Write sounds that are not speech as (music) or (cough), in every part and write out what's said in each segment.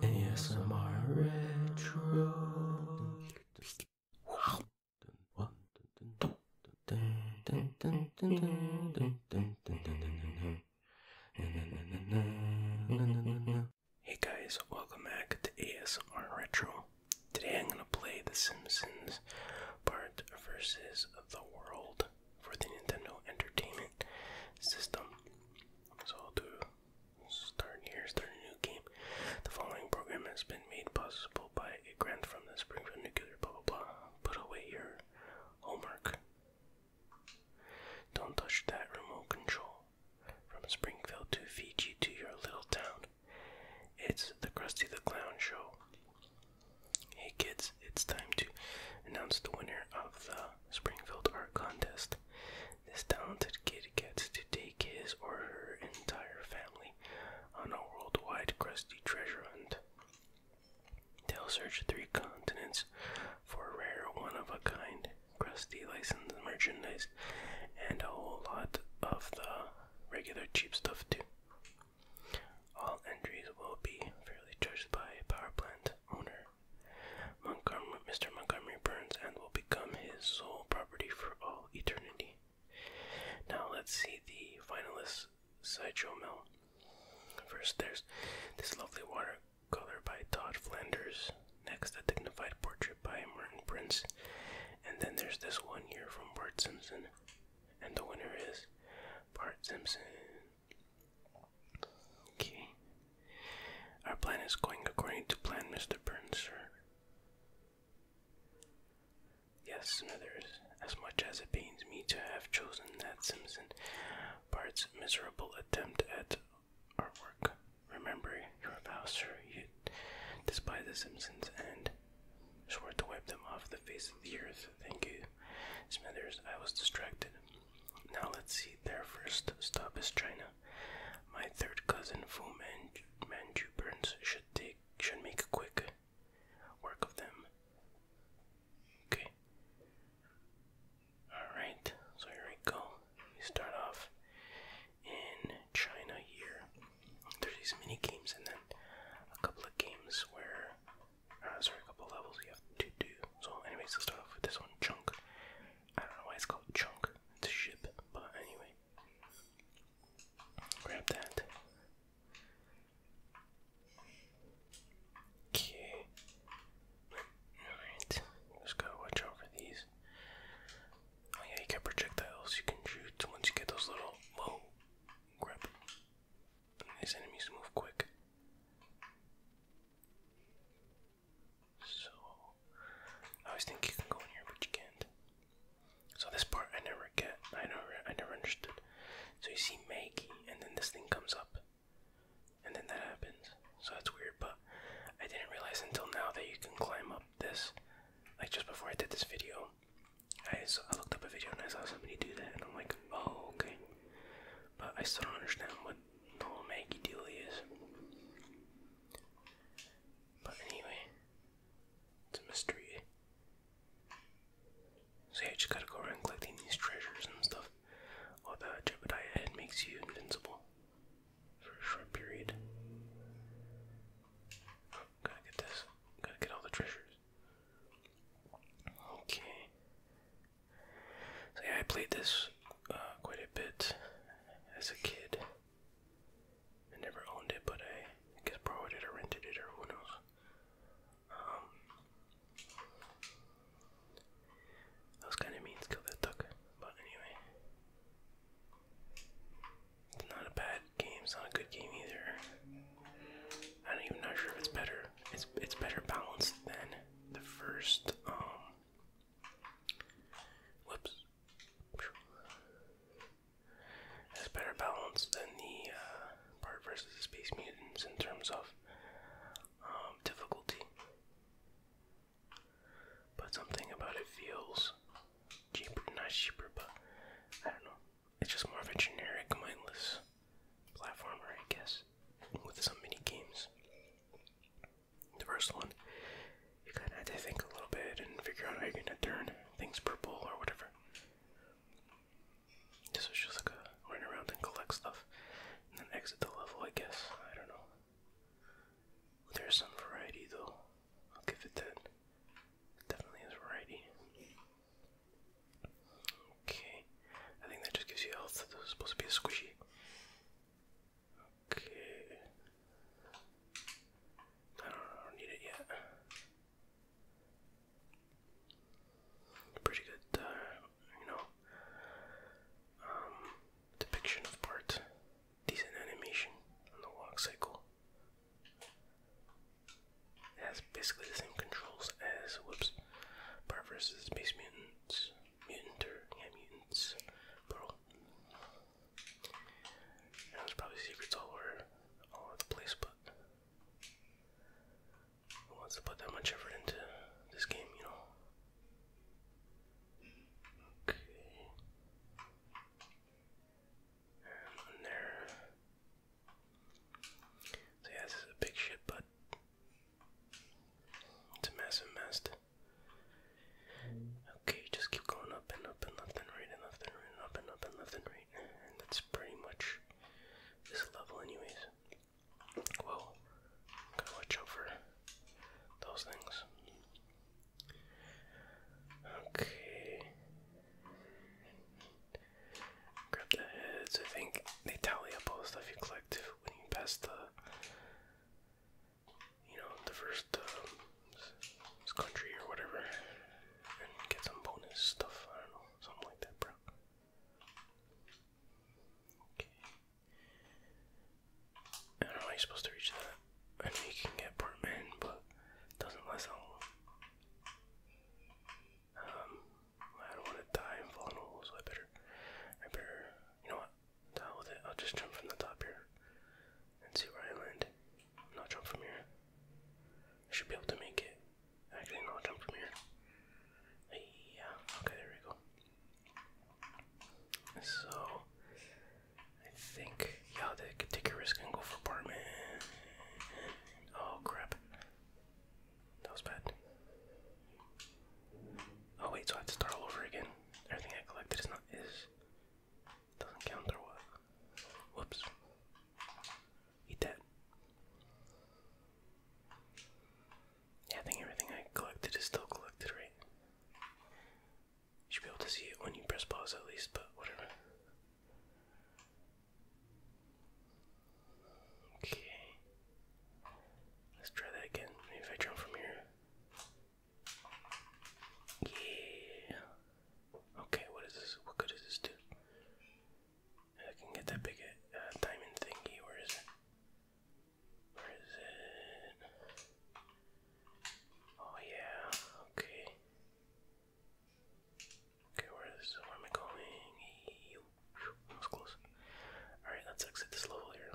ASMR Retro. Hey guys, welcome back to ASMR Retro. Today I'm going to play The Simpsons Bart versus the World for the Nintendo Entertainment System. So to start here, start a new game. The following program has been made possible by a grant from the Springfield Nuclear. Blah blah Put away your homework. Don't touch that remote control. From Springfield to Fiji to your little town. It's the Krusty the Clown show. Hey kids, it's time to announce the winner of the Springfield Art Contest. This talented kid gets to take his or her entire family on a worldwide crusty treasure hunt. They'll search three continents for rare, one of a kind, crusty licensed merchandise, and a whole lot of the regular cheap stuff, too. All entries will be fairly judged by Power Plant owner Montgomery, Mr. Montgomery Burns and will become his sole property for all eternity. Now let's see the finalists side show. Mel. First, there's this lovely watercolor by Todd Flanders. Next, a dignified portrait by Martin Prince. And then there's this one here from Bart Simpson. And the winner is Bart Simpson. Okay. Our plan is going according to plan, Mr. Burns, sir. Yes, others. as much as it pains me to have chosen that Simpson Bart's miserable attempt at our work. Remember your vows, sir. You despise the Simpsons and swore to wipe them off the face of the earth. Thank you Smithers, I was distracted. Now let's see, their first stop is China. My third cousin, Fu Manju, Manju Burns, should take should make a quick work of them. Okay. Alright, so here we go. We start off in China here. There's these mini games and then a couple of games where uh, sorry, a couple levels you have to do. So, anyways, let's start off with this one, Chunk. I don't know why it's called Chunk. It's a ship, but anyway. Grab that. Okay. Alright, just gotta watch out these. Oh yeah, you get projectiles you can shoot once you get those little whoa grip. these enemies move quick. So, I always think you can go in here, but you can't. So this part I never get. I never, I never understood. So you see Maggie, and then this thing comes up, and then that happens. So that's weird, but I didn't realize until now that you can climb up this. Like just before I did this video, I, so I looked up a video and I saw somebody do that, and I'm like, oh okay. But I still don't understand what the whole Maggie dealie is. But anyway, it's a mystery. So you just gotta go around collecting these treasures and stuff. While the Jebediah head makes you invincible for a short period. gotta get this. Gotta get all the treasures. Okay yeah, I played this uh, quite a bit as a kid. I never owned it, but I, guess borrowed it or rented it or who knows. Um, kind of means kill that duck, but anyway. It's not a bad game. It's not a good game either. I'm not even not sure if it's better. It's it's better balanced than the first um whoops has better balance than the uh, part versus the space mutants in terms of um, difficulty. But something about it feels cheaper, not cheaper, but I don't know. It's just more of a generic mindless platformer, I guess with some mini games. The first one, you kind of had to think a little bit and figure out how you're going to turn things purple or whatever. This was just like a run around and collect stuff and then exit the level, I guess. I don't know. There's some variety though. I'll give it that. It definitely is variety. Okay. I think that just gives you health. That was supposed to be a squishy. Okay. I don't, need it yet. Pretty good, uh, you know, um, depiction of part. Decent animation on the walk cycle. It has basically the same controls as whoops Bar versus Space Mutants. Mutant or yeah, mutants. Bro. And there's probably secrets all over all the place, but who wants to put that much effort into this game, you know? Okay. And there. So yeah, this is a big ship, but it's a massive mess. Okay, just keep going up and up and left and right and left and right up and up and left and right. And that's pretty much this level anyways. Well, gotta watch out those things. Okay. Grab the heads. I think they tally up all the stuff you collect when you pass the, you know, the first um, country or whatever, and get some bonus stuff. I don't know, something like that, bro. Okay. how you're supposed to reach that. I know you can get Portman, but doesn't last long. Um, I don't want to die and fall in a I better, I better, you know what, deal with it. I'll just jump from the top here and see where I land. No, I'll jump from here. I should be able to make it. Actually, no, I'll jump from here. Yeah, okay, there we go. So, I think, yeah, they could take a risk and go for apartment. Oh, crap. That was bad. Oh wait, so I have to start all over again. Everything I collected is not is doesn't count or what? Whoops. Eat that. Yeah, I think everything I collected is still collected, right? You should be able to see it when you press pause at least, but whatever. Okay. Let's try that again. Maybe if I jump from here. Yeah. Okay, what is this? What good does this do? I can get that big uh, diamond thingy. Where is it? Where is it? Oh, yeah. Okay. Okay, where is where am I going? That was close. Alright, let's exit this level here.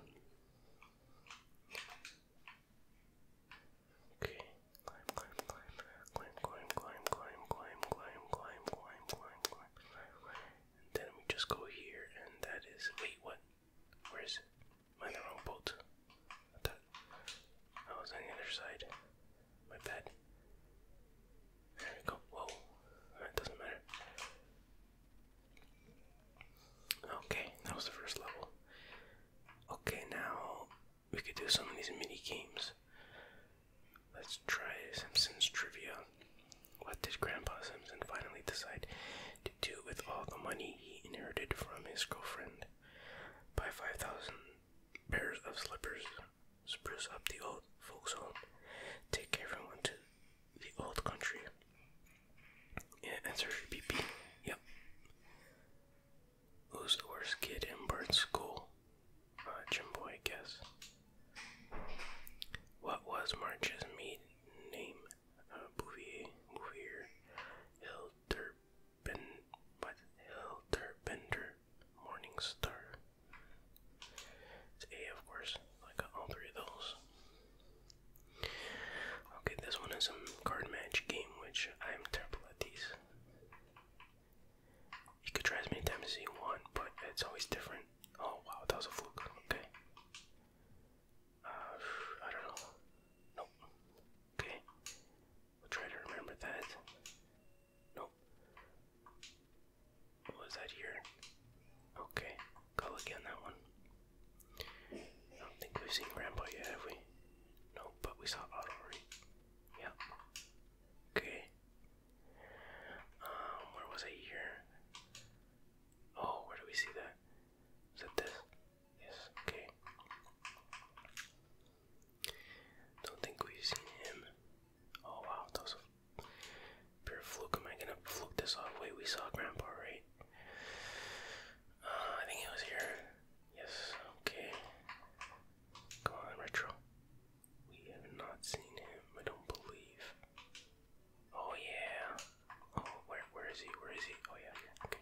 Okay. Climb, climb, climb, climb, climb, climb, climb, climb, climb, climb, climb, climb, And then we just go here and that is wait what? Where is it? Am I in the wrong boat? I I was on the other side. My bad. There we go. Whoa. That doesn't matter. Okay, that was the first level. Okay, now we could do some of these mini games. Let's try Simpsons Trivia. What did Grandpa Simpson finally decide to do with all the money he inherited from his girlfriend? Buy 5,000 pairs of slippers spruce up the old folks' home, take everyone to the old country. Yeah, answer should be B. Yep. Who's the worst kid in bird School? Uh, boy, I guess. What was March's maiden name? Uh, Bouvier, Bouvier, Hilderbend, what? Hilderbender, Morning Star. It's A, of course. I got all three of those. Okay, this one is a card match game, which I'm terrible at these. You could try as many times as you want, but it's always different. Oh wow, that was a fluke. Okay. Uh, I don't know. Nope. Okay. We'll try to remember that. Nope. What was that here? Okay, go again that one. I don't think we've seen Grandpa yet, have we? No, but we saw Otto already. Yep. Okay. Um, where was I here? Oh, where do we see that? Is that this? Yes, okay. Don't think we've seen him. Oh wow, that was a pure fluke. Am I gonna fluke this off? Wait, we saw Grandpa, right? Uh, I think he was here. Yes, okay. Come on, Retro. We have not seen him, I don't believe. Oh yeah. Oh, where, where is he? Where is he? Oh yeah, here. Okay.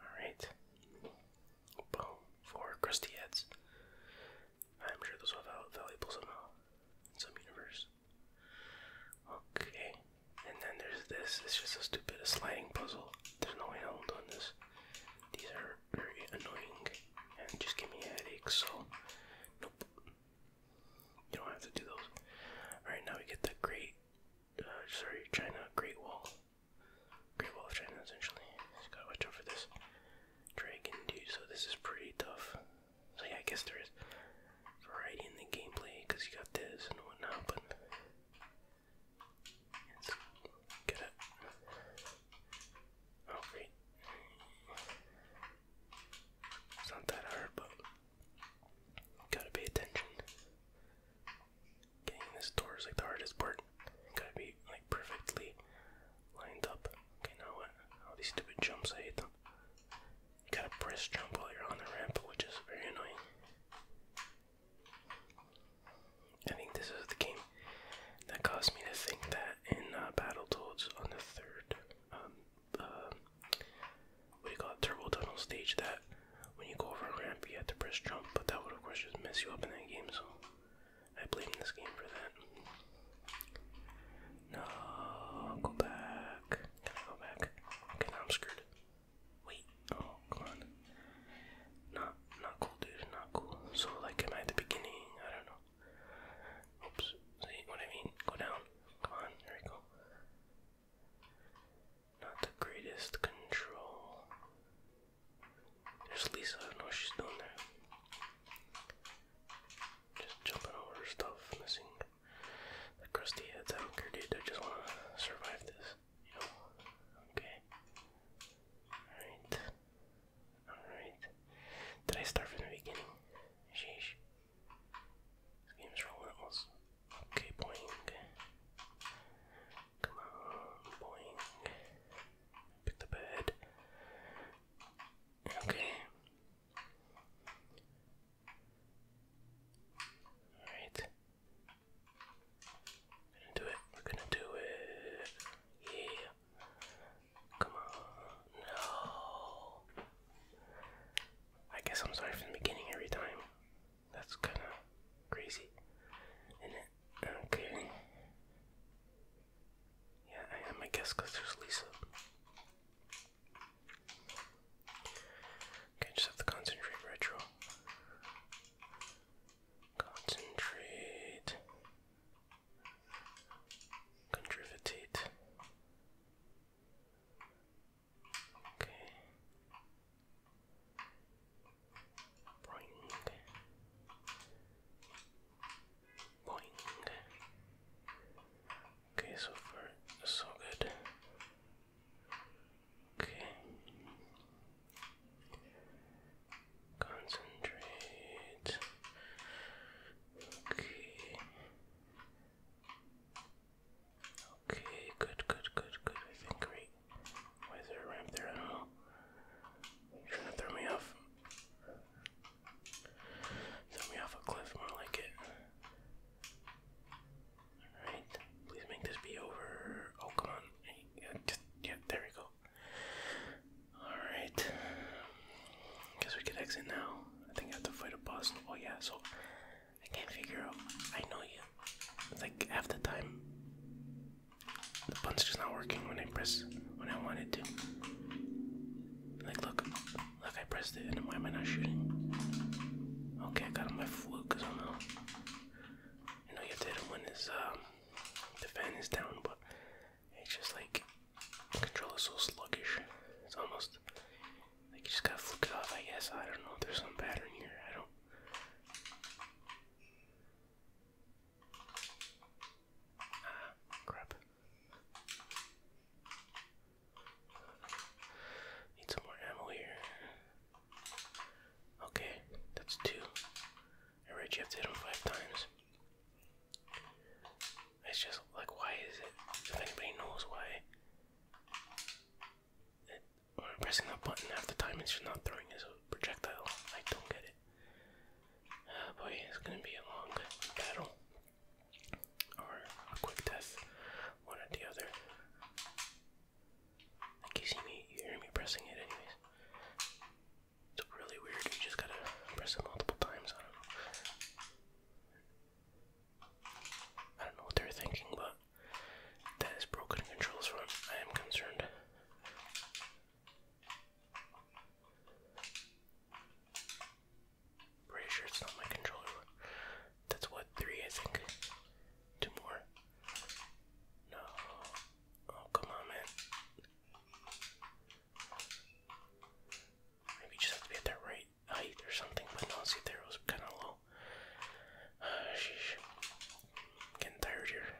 All right. Boom. Four crusty heads. I'm sure those are valuable somehow in some universe. Okay, and then there's this. It's just a stupid sliding puzzle. There's no way I'll on this. These are very annoying and just give me a So, nope. You don't have to do those. All right, now we get the Great, uh, sorry, China Great Wall. Great Wall of China, essentially. gotta watch out for this drag and so this is pretty tough. So yeah, I guess there is variety in the gameplay because you got this and whatnot, but it's get it. Oh great, it's not that hard, but gotta pay attention. Getting this door is like the hardest part. Gotta be like perfectly lined up. Okay, now what? All these stupid jumps, I hate them. You gotta press jump while you're on the ramp, which is very annoying. I think this is the game that caused me to think that in uh, Battle Toads on the third, um, uh, what do you call it, Turbo Tunnel stage, that when you go over a ramp you have to press jump, but that would of course just mess you up in that game, so I played in this game for that. No, go back. go back? Okay, now I'm screwed. Wait, oh, come on. Not, not cool, dude, not cool. So, like, am I at the beginning? I don't know. Oops, see what I mean? Go down. Come on, there we go. Not the greatest control. There's Lisa, I don't know what she's doing there. Just jumping over stuff, missing crusty heads. I don't I just want to survive this, you Okay. Alright. Alright. Did I start from the beginning? Sheesh. This game's relentless. Okay, boing. Come on, boing pick the bird. Okay. Alright. gonna do it. We're gonna do it. Yeah. Come on. No. I guess I'm sorry for the beginning every time. That's kinda crazy. Okay. Yeah, I guess, because there's Lisa. Okay, just have to concentrate retro. Concentrate. Contrivitate. Okay. Boing. Boing. Okay, so far so good. Okay. Concentrate. Okay. Okay, good, good, good, good. I think we why is there a ramp there? I don't know. trying to throw me off. Throw me off a cliff, more like it. Alright, please make this be over. Oh, come on. Yeah, there we go. Alright. Guess we could exit now. I think I have to fight a boss. Oh, yeah, so I can't figure out. I know you. like half the time the button's just not working when I press when I want it to. Like look, look I pressed it and why am I not shooting? Okay, I got on my foot because I know. You know you have to hit him when his um the fan is down, but it's just like the control is so sluggish. It's almost like you just gotta flick it off, I guess. I don't know, if there's some pattern here. I don't Ah, crap. Need some more ammo here. Okay, that's two. Alright, you have to hit him five times. It's just like, why is it? If anybody knows why, pressing that button half the time, it's just not throwing as a projectile. I don't get it. Oh, boy, it's gonna be a long battle. Or a quick death. One or the other. Like you see me, you hear me pressing it anyways. It's really weird, you just gotta press it multiple times, I don't know what they're thinking, but that is broken controls from I am concerned. Pretty sure it's not my controller. That's what, three, I think. Two more. No. Oh, come on, man. Maybe just have to be at that right height or something, but no, see, there was kind of low. Uh, (sighs) getting tired here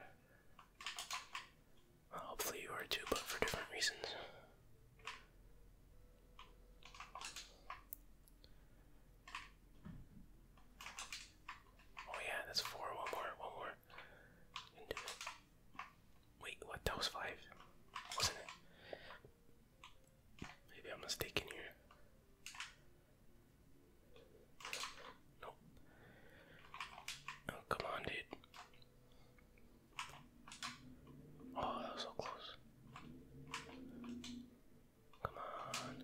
hopefully you are too, but for different reasons. Oh yeah, that's four. One more, one more. Wait, what? That was five, wasn't it? Maybe I'm mistaken here. Nope. Oh, come on, dude. Oh, that was so close. Come on.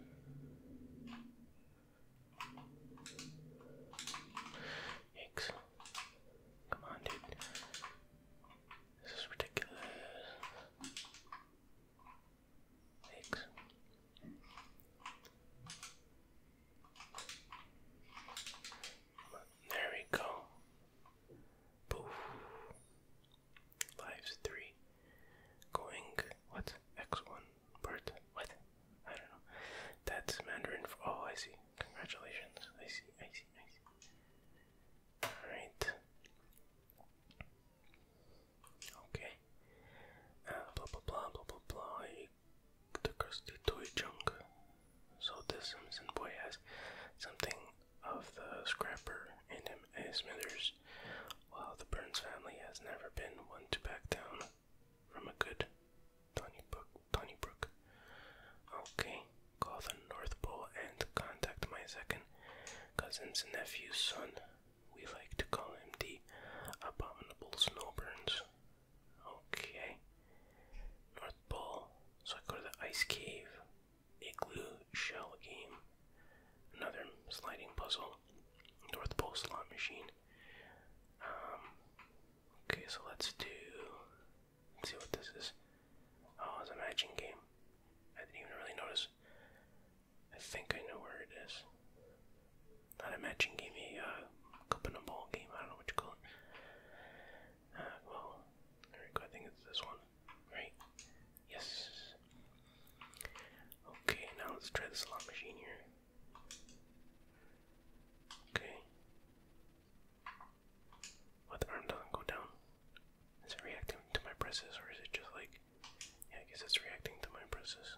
Yikes. Come on, dude. This is ridiculous. Yikes. There we go. Poof. Lives three. Going what? X one. Bird. What? I don't know. That's Mandarin for oh I see. Congratulations. I see, I see, I see. Alright. Okay. Uh, blah blah blah blah blah blah the crusty toy junk. So this Simpson boy has something of the scrapper in him as Smithers, while the Burns family has never been one to back down from a good Donnybrook. Brook. Okay, call the North Pole and contact my second cousin's nephew's son, we like to call him the Abominable Snowburns. Okay. North Pole. So I go the Ice Cave. Igloo Shell Game. Another sliding puzzle. North Pole Slot Machine. Um, okay, so let's do. see what this is. Oh, it's a matching game. I didn't even really notice. I think I know where it is. Not a matching game, a uh, cup and a ball game. I don't know what you call it. Uh, well, I think it's this one, right? Yes. Okay, now let's try the slot machine here. Okay. What arm doesn't go down. Is it reacting to my presses, or is it just like? Yeah, I guess it's reacting to my presses.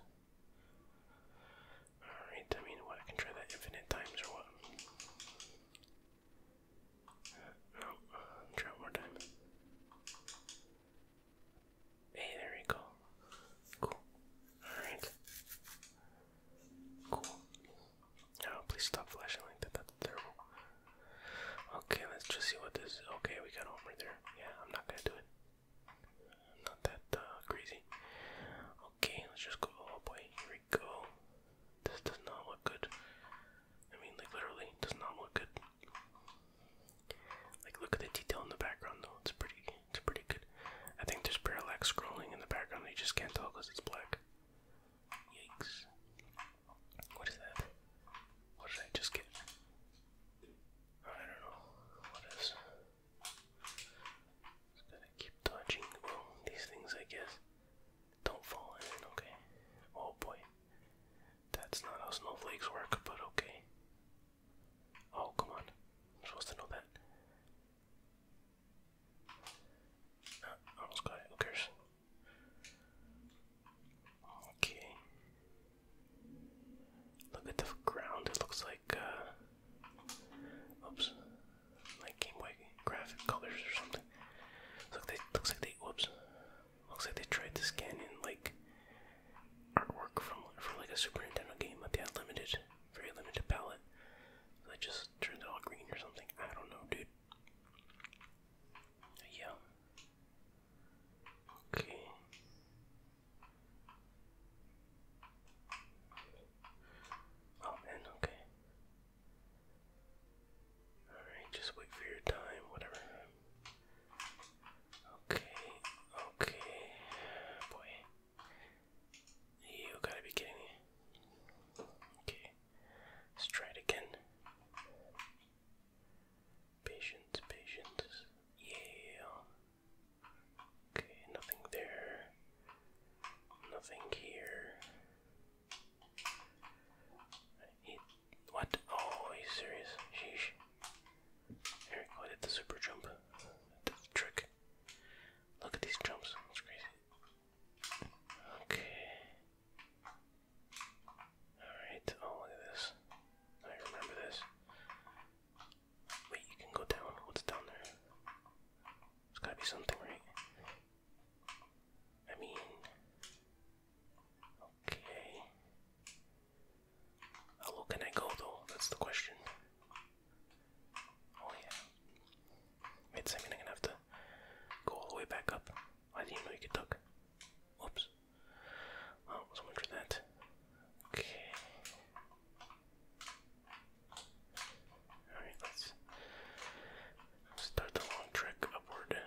Alright, I mean, what? I can try that infinite times or what? Uh, try more time. Hey, there we go. Cool. Alright. Cool. Oh, please stop flashing like that. That's terrible. Okay, let's just see what this is. Okay, we got Homer there. Yeah, I'm not gonna do it. Not that uh, crazy. Okay, let's just go. Oh boy, here we go. This does not look good. I mean, like literally, does not look good. Like, look at the detail in the background, though. It's pretty. It's pretty good. I think there's parallax scrolling in the background. You just can't tell because it's black. Yikes! What is that? What did I just get? I don't know. What is? Just gotta keep dodging. these things, I guess, don't fall in. Okay. Oh boy. That's not how snowflakes work, but okay. Oh, come on. I'm supposed to know that. Ah, almost got it. Okay. Look at the ground. It looks like, uh, oops, like Game graphic colors or something. Look, they looks like they whoops. Looks like they tried to scan in like artwork from for like a Super Nintendo game, but they had limited, very limited palette. So they just turned it all green or something. I don't know, dude. Yeah. Okay. Oh okay. Alright, just wait for your time, whatever. Okay, okay. Boy. You gotta be kidding Okay. Let's try it again. Patience, patience. Yeah. Okay, nothing there. Nothing here. what? Oh, are you serious? Sheesh. Eric, go the super jump. the trick. Look at these jumps. That's crazy. Okay. Alright, oh, look at this. I remember this. Wait, you can go down. What's down there? There's gotta be something, right? I mean, okay. How oh, low can I go though? That's the question. Oh yeah. Wait a i I'm gonna have to go all the way back up. I didn't know you could duck. Whoops. Oh, so much that. Okay. Alright, let's start the long trek upward.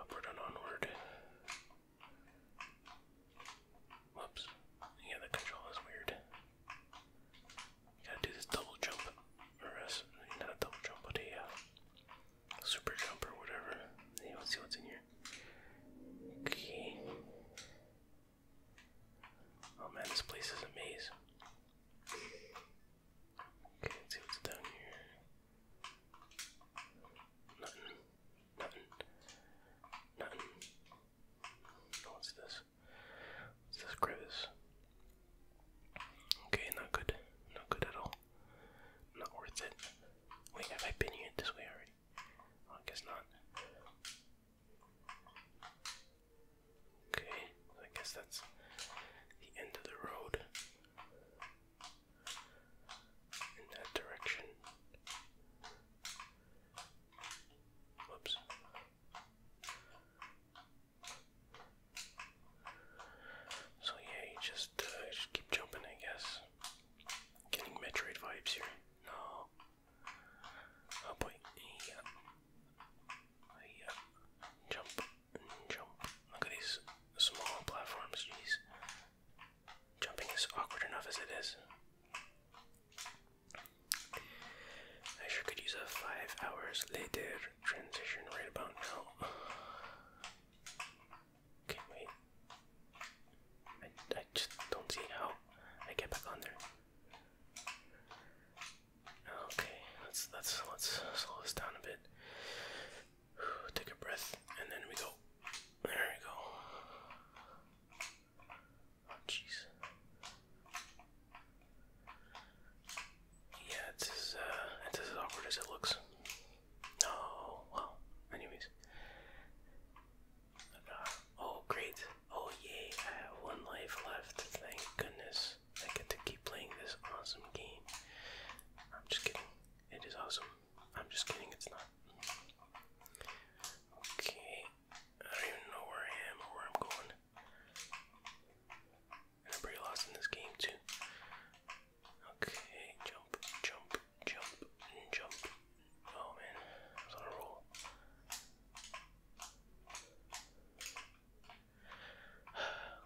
Upward and onward. Whoops. Yeah, the control is weird. gotta do this double jump. Or else, not a double jump, but a uh, super jump or whatever. let's see what's in here. Key. Oh man, this place is a maze. Okay, see what's down here. Nothing. Nothing. Nothing. Oh, what's this? What's this crevice? Okay, not good. Not good at all. Not worth it. Wait, have I been here this way already? I guess not. Okay, I guess that's the end of the road in that direction. Whoops. So yeah, you just, uh, just keep jumping, I guess. Getting Metroid vibes here. No. Oh boy. Yeah. Yeah. Jump. Jump. Look at these small platforms, jeez. Jumping is awkward enough as it is. I sure could use a five hours later transition right about now. Okay, wait. I, I just don't see how I get back on there. Okay, let's let's let's slow this down a bit. Take a breath, and then we go. There we go. Oh jeez. Yeah, it's as uh, as awkward as it looks. Oh, well, anyways. Uh, oh, great. Oh, yay, I have one life left. Thank goodness I get to keep playing this awesome game. I'm just kidding. It is awesome. I'm just kidding, it's not. Okay, I don't even know where I am or where I'm going. I'm pretty lost in this game, too. Okay, jump, jump, jump, jump. Oh man, I on a roll.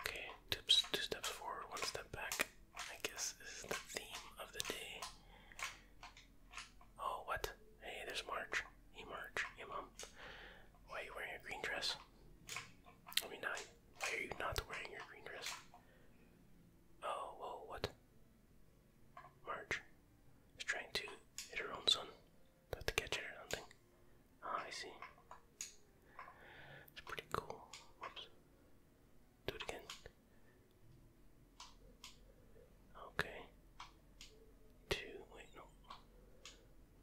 Okay, two, two steps forward, one step back. I guess is the theme of the day. Oh, what? Hey, there's March. Hey, March. Hey, Mom. Why are you wearing a green dress? I mean, Why are you not wearing your green dress? Oh, whoa, what? Marge is trying to hit her own son. Not to catch it or something. Ah, I see. It's pretty cool. Whoops. Do it again. Okay. Two. Wait, no.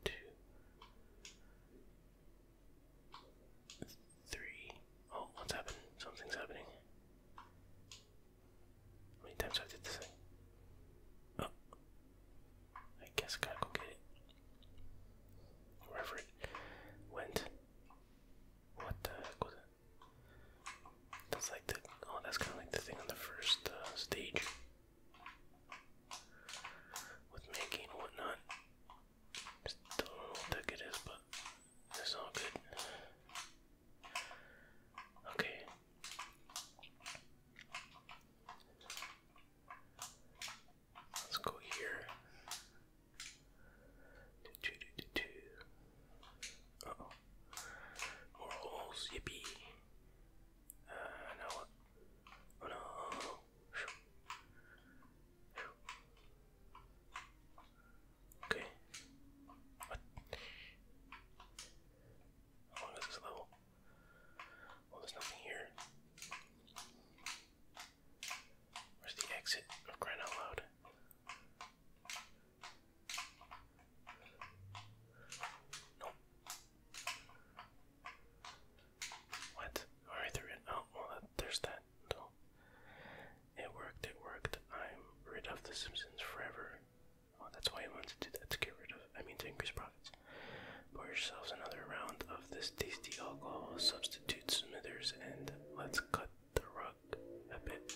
Two three. Oh, what's happening? Something's happening. How many times I did this Oh. I guess gotta go get it. Wherever it went. What the That's like the oh that's kinda like the thing on the first uh, stage. With making whatnot. It's a little thick it is, but it's all good. Okay. Let's go here. Do, oh. More holes, yippee. Uh, now what? Oh no. Okay. What? How long is this level? Well, oh, there's nothing here. Where's the exit? I'm oh, crying out loud. Nope. What? Alright, through it. Oh, well, there's that. It worked, it worked. I'm rid of The Simpsons forever. that's why I wanted to do that, to get rid of, I mean to increase profits. Pour yourselves another round of this tasty alcohol, substitute Smithers, and let's cut the rug a bit.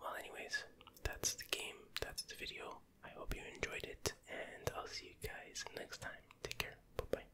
Well, anyways, that's the game, that's the video. I hope you enjoyed it, and I'll see you guys next time. Take care, bye bye.